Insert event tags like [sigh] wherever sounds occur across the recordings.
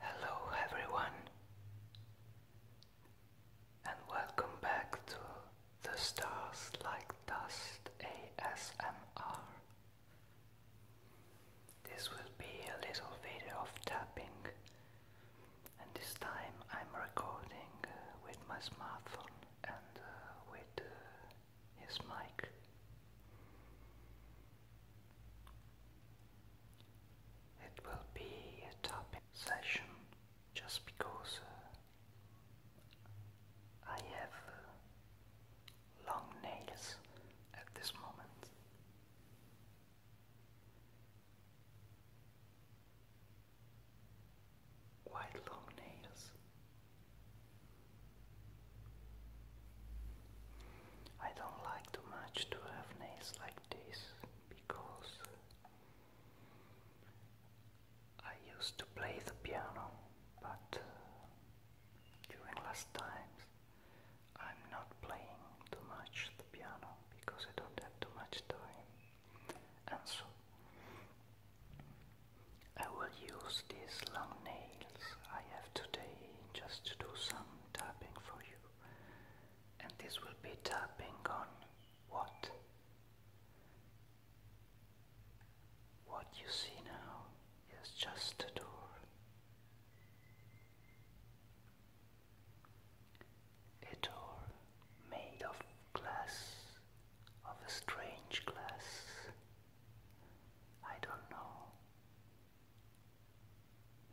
Hello, everyone, and welcome back to the Stars Like Dust ASMR. This will be a little video of tapping, and this time I'm recording uh, with my smartphone and uh, with uh, his mic. It will be a topic session just because uh, I have uh, long nails at this moment. Quite long nails. I don't like too much to have nails like this because I used to play the piano, but uh, during last times I'm not playing too much the piano because I don't have too much time, and so I will use these long nails I have today just to do some tapping for you. And this will be tapping on what? What you see now is just a door. A door made of glass, of a strange glass, I don't know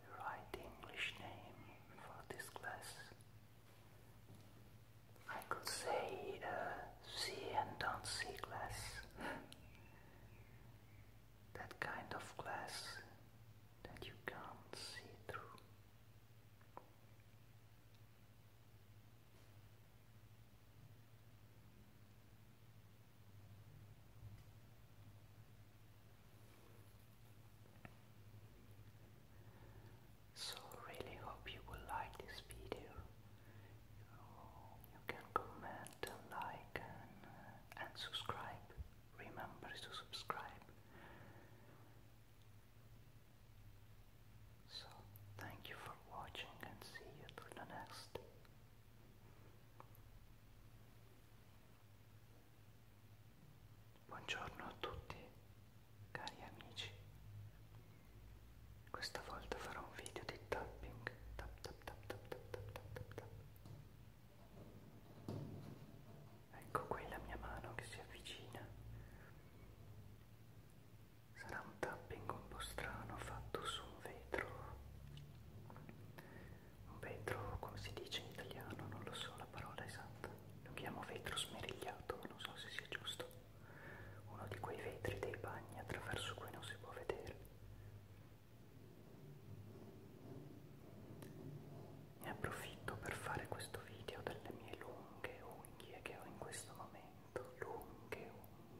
the right English name for this class. I could say uh, see and don't see glass. [laughs] that kind of glass that you can't see through. So really hope you will like this video. You can comment like and uh, subscribe. Remember to subscribe. So, thank you for watching and see you to the next. Buongiorno a tutti, cari amici. Questa volta farò un video di tapping. Tap, tap, tap, tap, tap, tap, tap, tap. Ecco qui la mia mano che si avvicina sarà un tapping un po' strano fatto su un vetro un vetro come si dice in italiano non lo so la parola esatta lo chiamo vetro smerigliato non so se sia giusto uno di quei vetri dei bagni attraverso cui non si può vedere ne approfitto per fare questo video delle mie lunghe unghie che ho in questo momento lunghe unghie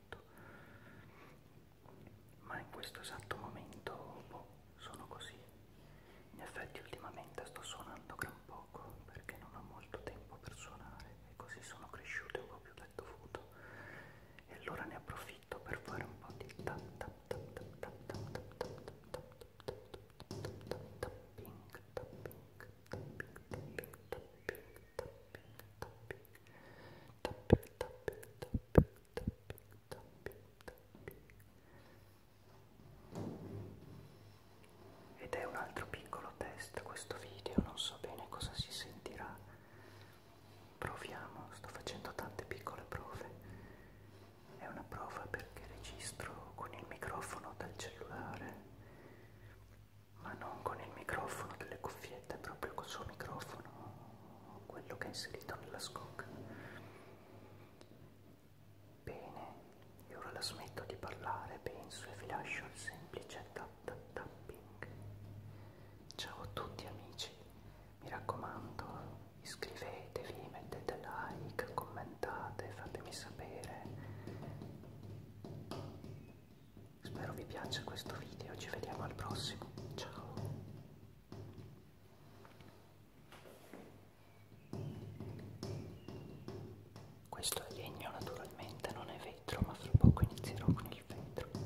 molto ma in questo esatto momento boh, sono così in effetti ultimamente sto suonando gran poco perché non ho molto tempo per suonare e così sono cresciuto un po' più del dovuto e allora ne approfitto per fare un po' di tap tap tap tap tap tap tap tap tap tapping tapping tapping tapping tapping tapping, tapping, tapping, tapping, tapping, tapping, tapping. Ed è un altro piccolo test questo video, non so bene cosa si sentirà. Proviamo, sto facendo tante piccole prove. È una prova perché registro con il microfono dal cellulare ma non con il microfono delle cuffiette, proprio col suo microfono, quello che ha inserito nella scocca. Bene, e ora la smetto di parlare, penso, e vi lascio il semplice tap tap tapping. Ciao a tutti amici, mi raccomando, iscrivetevi, mettete like, commentate, fatemi sapere. Spero vi piaccia questo video, ci vediamo al prossimo, ciao! Questo è legno naturalmente, non è vetro, ma fra poco inizierò con il vetro.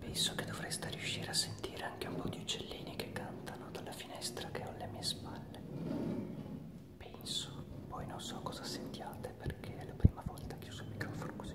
Penso che dovreste riuscire a sentire anche un po' di uccellini che cantano dalla finestra che ho alle mie spalle. Penso, poi non so cosa sentiate perché è la prima volta che uso il microfono così.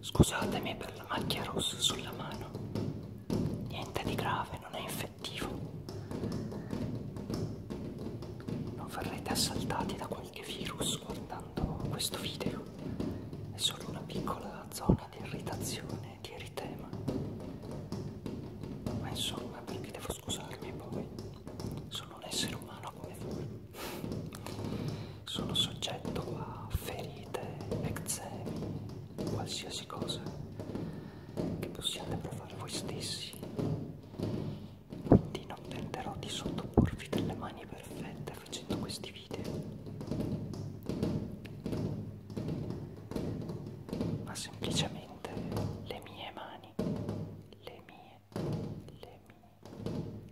Scusatemi per la macchia rossa sulla mano. Niente di grave, non è infettivo. Non verrete assaltati da qualche virus guardando questo video. È solo una piccola zona di irritazione, di eritema. Ma insomma, perché devo scusarmi poi? Sono un essere umano come voi sono soggetto a ferite, eczemi, qualsiasi cosa che possiate provare voi stessi. Quindi non tenterò di sottoporvi delle mani perfette facendo questi video, ma semplicemente le mie mani, le mie, le mie,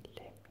le mie.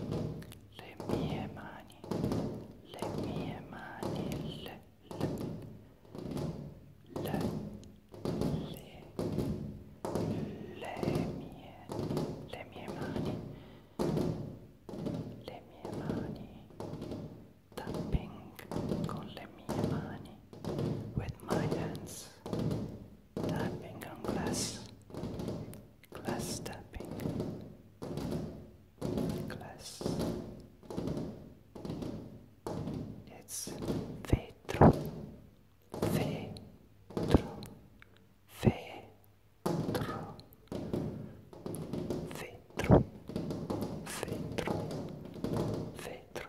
le mie mani, le mie mani, le, le, le, le, le mie, le mie mani, le mie mani, tapping con le mie mani, with my hands tapping on glass, glass tapping, glass. It's vetro, vetro, vetro, vetro, vetro, vetro.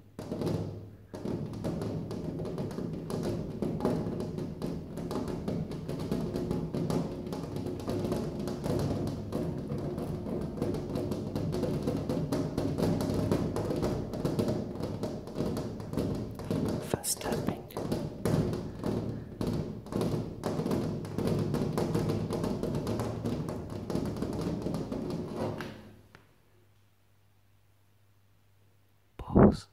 Fast tapping. Pause.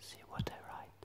See what I write.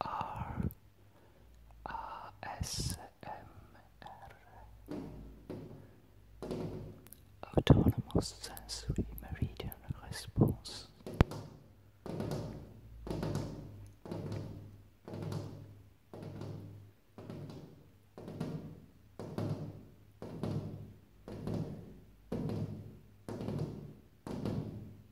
R A S M R Autonomous Sensory Meridian Response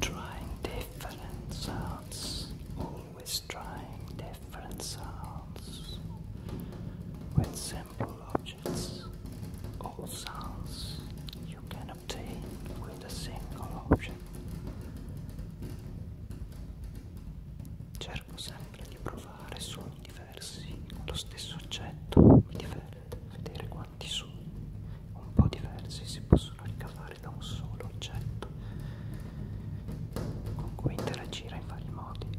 Trying to different sounds, always trying different sounds with simple objects. All sounds you can obtain with a single object. Cerco sempre di provare suoni diversi con lo stesso oggetto, di vedere quanto fatti su, un po' diversi, si possono ricavare da un solo oggetto con cui interagire in vari modi.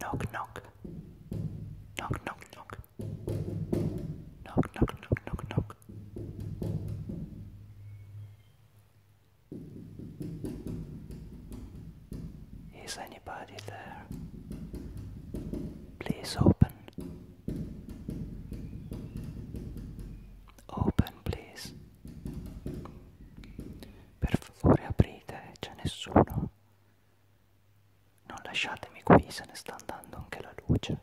Knock knock knock knock knock knock knock knock knock knock rock. Is anybody there? Please open. Open, please. Per favore aprite, c'è nessuno. Non lasciatemi qui, se ne sta andando anche la luce.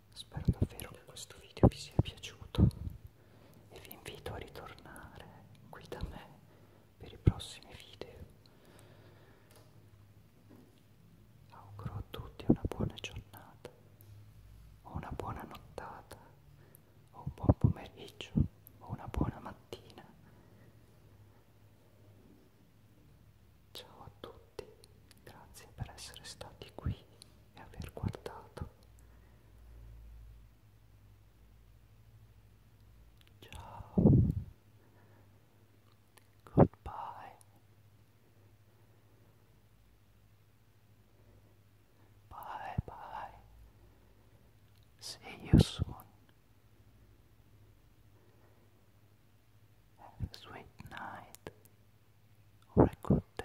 Spero davvero che questo video vi sia piaciuto e vi invito a ritornare qui da me per i prossimi video. Auguro a tutti una buona giornata, o una buona nottata, o un buon pomeriggio, o una buona mattina. Ciao a tutti. Grazie per essere stati qui e aver guardato. Ciao. Goodbye. Bye bye. See you soon. Have a sweet night. or a good day.